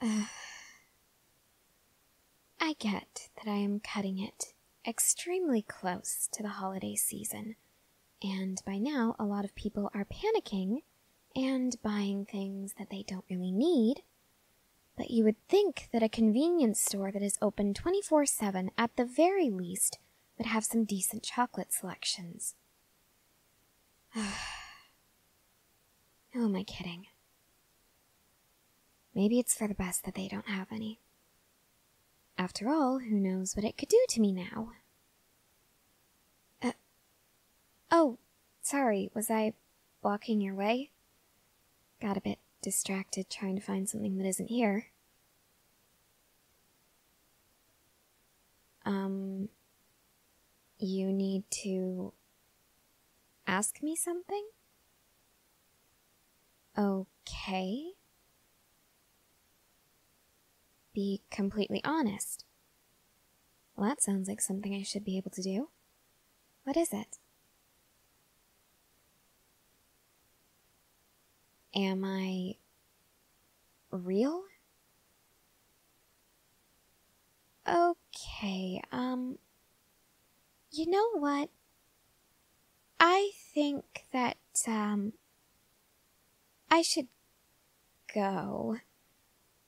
I get that I am cutting it extremely close to the holiday season, and by now a lot of people are panicking and buying things that they don't really need. But you would think that a convenience store that is open 24 7 at the very least would have some decent chocolate selections. Who oh, am I kidding? Maybe it's for the best that they don't have any. After all, who knows what it could do to me now? Uh, oh, sorry, was I walking your way? Got a bit distracted trying to find something that isn't here. Um, you need to ask me something? Okay. Be completely honest. Well, that sounds like something I should be able to do. What is it? Am I real? Okay, um, you know what? I think that, um, I should go.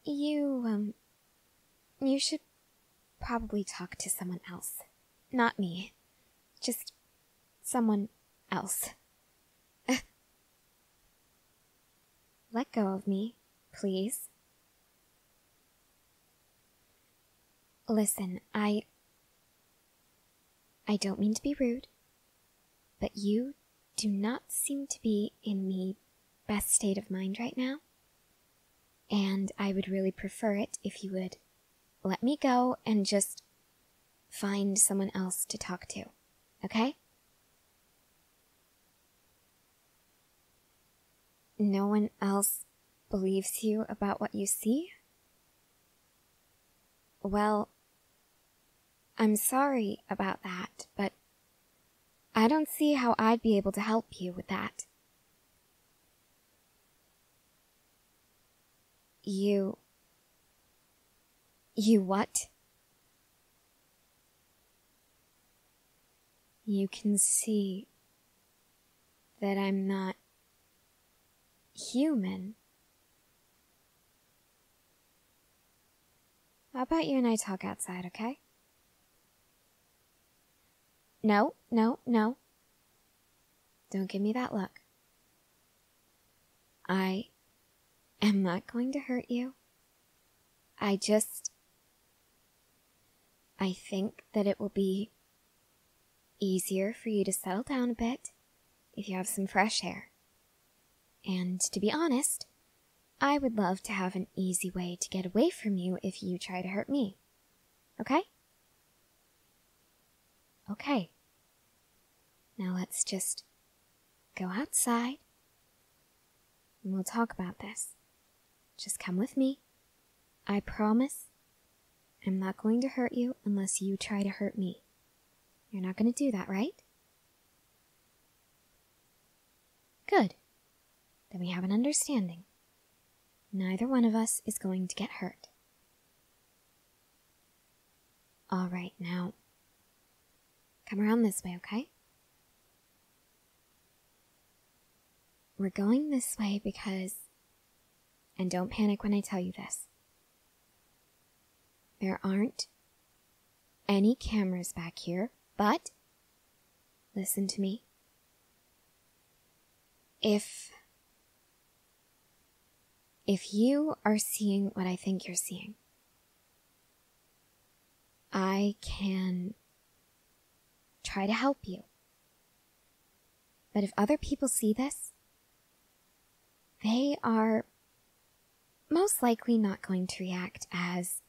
You, um, you should probably talk to someone else. Not me. Just someone else. Let go of me, please. Listen, I. I don't mean to be rude, but you do not seem to be in the best state of mind right now. And I would really prefer it if you would let me go and just find someone else to talk to, okay? No one else believes you about what you see? Well, I'm sorry about that, but I don't see how I'd be able to help you with that. You. You what? you can see that I'm not human. How about you and I talk outside, okay? No, no, no. Don't give me that look. I am not going to hurt you. I just I think that it will be easier for you to settle down a bit if you have some fresh air. And to be honest, I would love to have an easy way to get away from you if you try to hurt me. Okay? Okay. Now let's just go outside and we'll talk about this. Just come with me. I promise I'm not going to hurt you unless you try to hurt me. You're not going to do that, right? Good. Then we have an understanding. Neither one of us is going to get hurt. All right, now. Come around this way, okay? We're going this way because. And don't panic when I tell you this. There aren't any cameras back here, but. Listen to me. If. If you are seeing what I think you're seeing, I can try to help you. But if other people see this, they are most likely not going to react as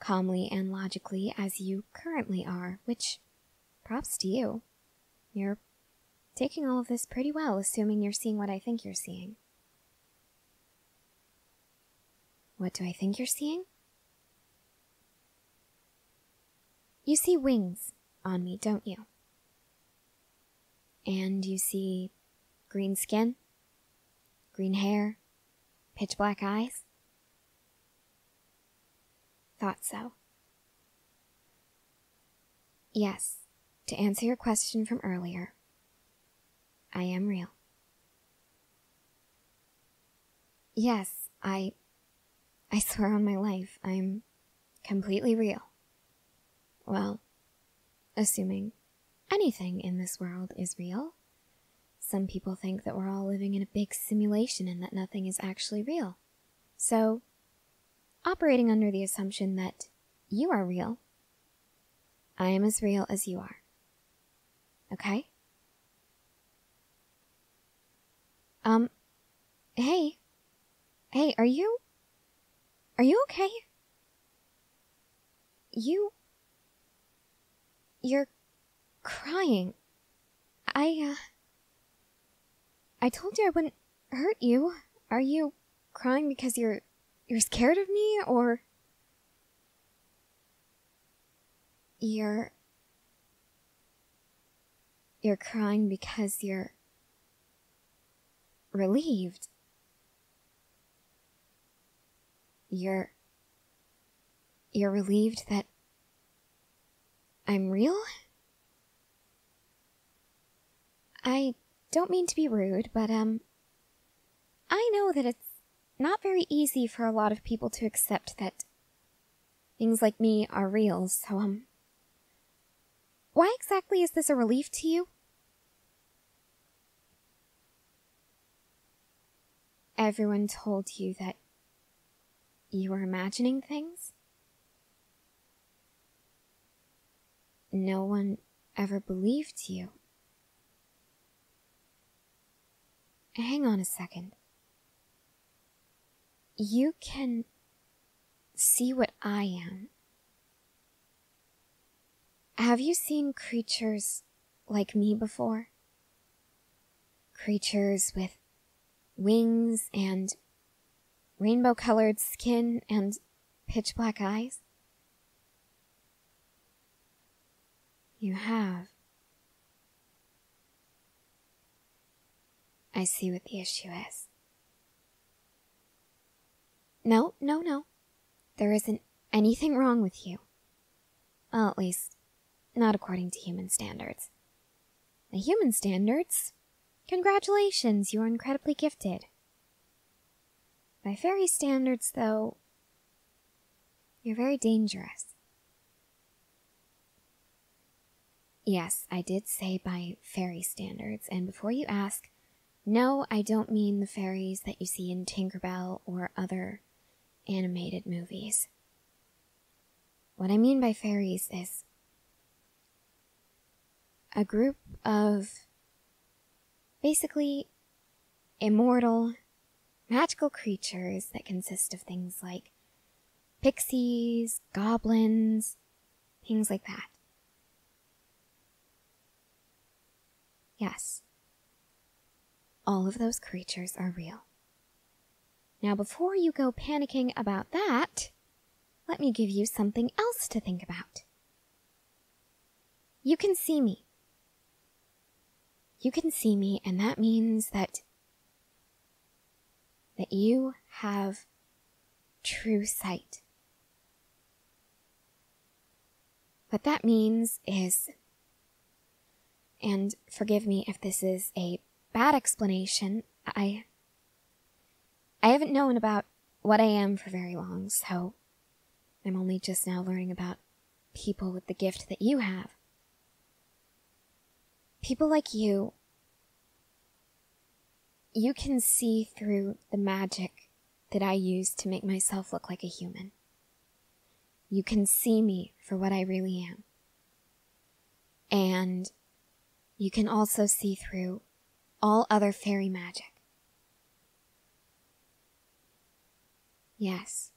calmly and logically as you currently are, which props to you. You're taking all of this pretty well, assuming you're seeing what I think you're seeing. What do I think you're seeing? You see wings on me, don't you? And you see green skin, green hair, pitch black eyes? Thought so. Yes, to answer your question from earlier, I am real. Yes, I. I swear on my life, I'm completely real. Well, assuming anything in this world is real. Some people think that we're all living in a big simulation and that nothing is actually real. So, operating under the assumption that you are real, I am as real as you are. Okay? Um, hey. Hey, are you. Are you okay? You. You're crying. I, uh. I told you I wouldn't hurt you. Are you crying because you're. You're scared of me, or. You're. You're crying because you're. relieved. You're. You're relieved that. I'm real? I don't mean to be rude, but, um. I know that it's not very easy for a lot of people to accept that Things like me are real, so, um... Why exactly is this a relief to you? Everyone told you that you were imagining things? No one ever believed you. Hang on a second you can see what I am. Have you seen creatures like me before? Creatures with wings and rainbow colored skin and pitch black eyes? You have. I see what the issue is. No, no, no. There isn't anything wrong with you. Well, at least, not according to human standards. human standards? Congratulations, you are incredibly gifted. By fairy standards, though, you're very dangerous. Yes, I did say by fairy standards, and before you ask, no, I don't mean the fairies that you see in Tinkerbell or other animated movies. What I mean by fairies is a group of basically immortal magical creatures that consist of things like pixies, goblins, things like that. Yes, all of those creatures are real. Now, before you go panicking about that, let me give you something else to think about. You can see me. You can see me, and that means that that you have true sight. What that means is, and forgive me if this is a bad explanation, I, I haven't known about what I am for very long, so I'm only just now learning about people with the gift that you have. People like you, you can see through the magic that I use to make myself look like a human. You can see me for what I really am. And you can also see through all other fairy magic. Yes.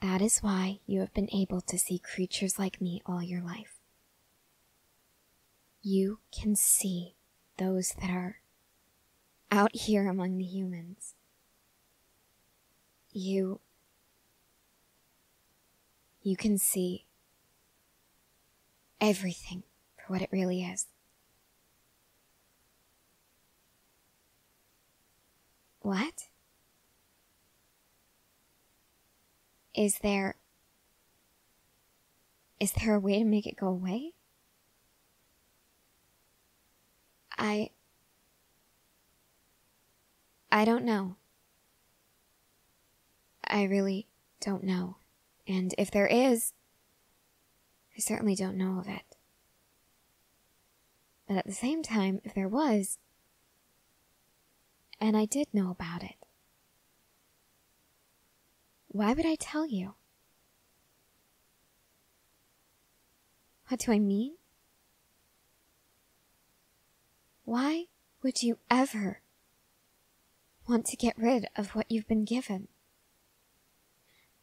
That is why you have been able to see creatures like me all your life. You can see those that are out here among the humans. You. You can see everything for what it really is. What? Is there. Is there a way to make it go away? I. I don't know. I really don't know. And if there is, I certainly don't know of it. But at the same time, if there was, and I did know about it, why would I tell you? What do I mean? Why would you ever want to get rid of what you've been given?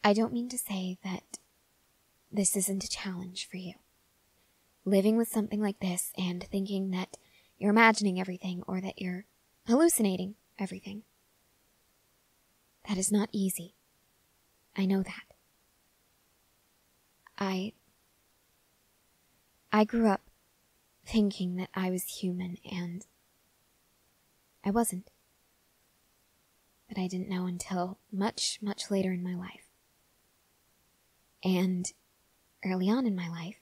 I don't mean to say that this isn't a challenge for you. Living with something like this and thinking that you're imagining everything or that you're hallucinating everything. That is not easy. I know that. I. I grew up thinking that I was human and. I wasn't. But I didn't know until much, much later in my life. And early on in my life,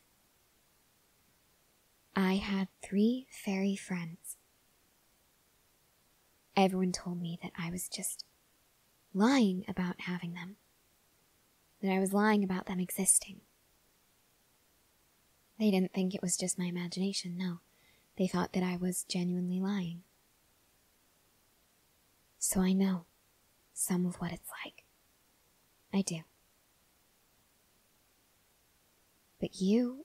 I had three fairy friends. Everyone told me that I was just lying about having them, that I was lying about them existing. They didn't think it was just my imagination, no. They thought that I was genuinely lying. So I know some of what it's like. I do. But you,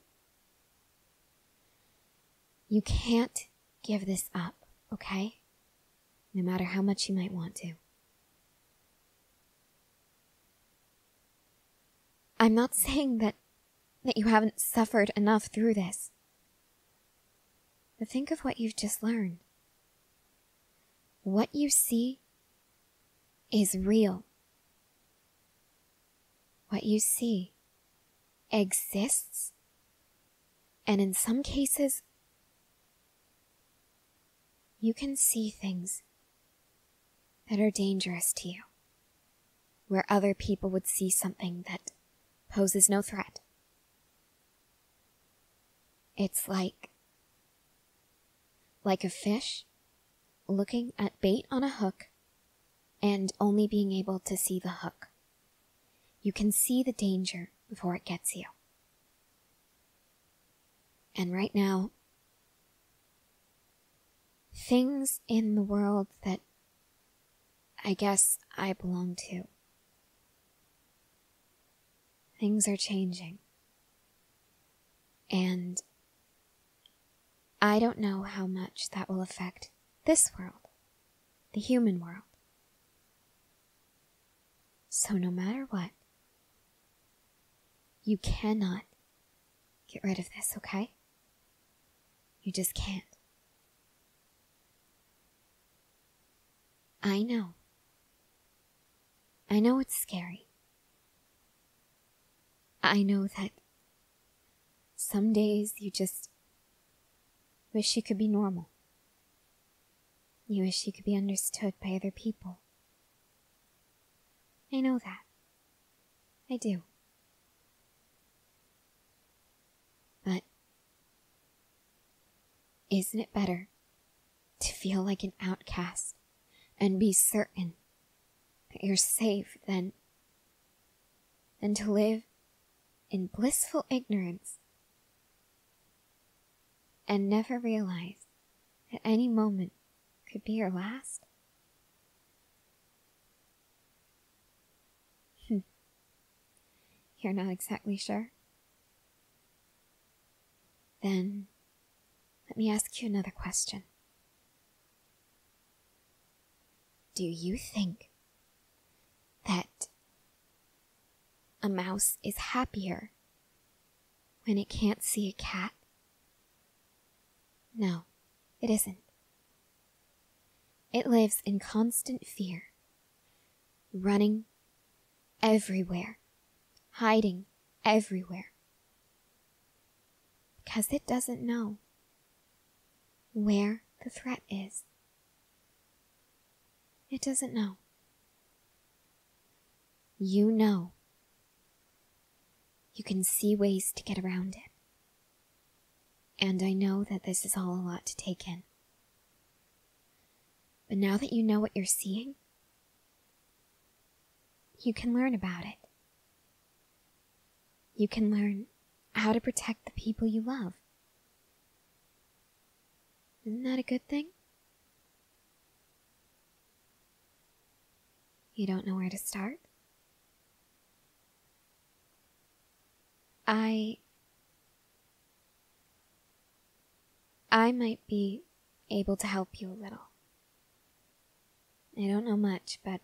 you can't give this up, okay? No matter how much you might want to. I'm not saying that, that you haven't suffered enough through this. But think of what you've just learned. What you see is real. What you see exists, and in some cases, you can see things that are dangerous to you, where other people would see something that poses no threat it's like. like a fish looking at bait on a hook and only being able to see the hook. You can see the danger before it gets you. And right now, things in the world that I guess I belong to Things are changing. And I don't know how much that will affect this world, the human world. So, no matter what, you cannot get rid of this, okay? You just can't. I know. I know it's scary. I know that some days you just wish you could be normal. You wish you could be understood by other people. I know that. I do. But isn't it better to feel like an outcast and be certain that you're safe than, than to live in blissful ignorance and never realize that any moment could be your last? Hmm. You're not exactly sure? Then let me ask you another question. Do you think that a mouse is happier when it can't see a cat? No, it isn't. It lives in constant fear, running everywhere, hiding everywhere. Because it doesn't know where the threat is. It doesn't know. You know. You can see ways to get around it. And I know that this is all a lot to take in. But now that you know what you're seeing, you can learn about it. You can learn how to protect the people you love. Isn't that a good thing? You don't know where to start? I I might be able to help you a little. I don't know much, but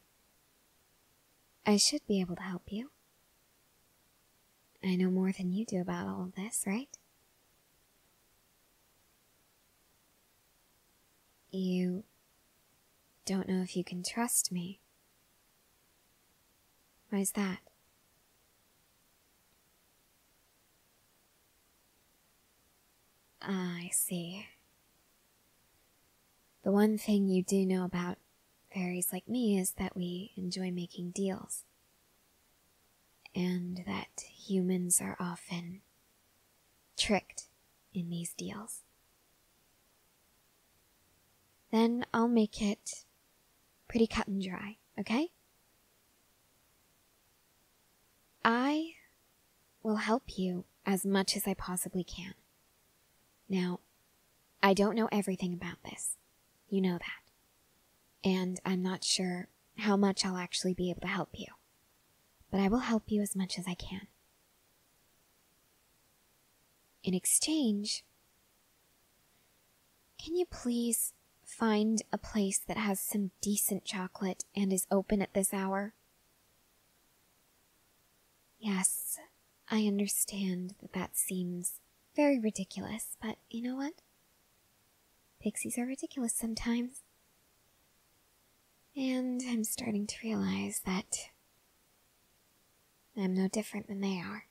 I should be able to help you. I know more than you do about all of this, right? You don't know if you can trust me. Why is that? Ah, I see. The one thing you do know about fairies like me is that we enjoy making deals, and that humans are often tricked in these deals. Then I'll make it pretty cut and dry okay? I will help you as much as I possibly can. Now, I don't know everything about this. You know that. And I'm not sure how much I'll actually be able to help you. But I will help you as much as I can. In exchange, can you please find a place that has some decent chocolate and is open at this hour? Yes, I understand that that seems very ridiculous, but you know what? Pixies are ridiculous sometimes. And I'm starting to realize that I'm no different than they are.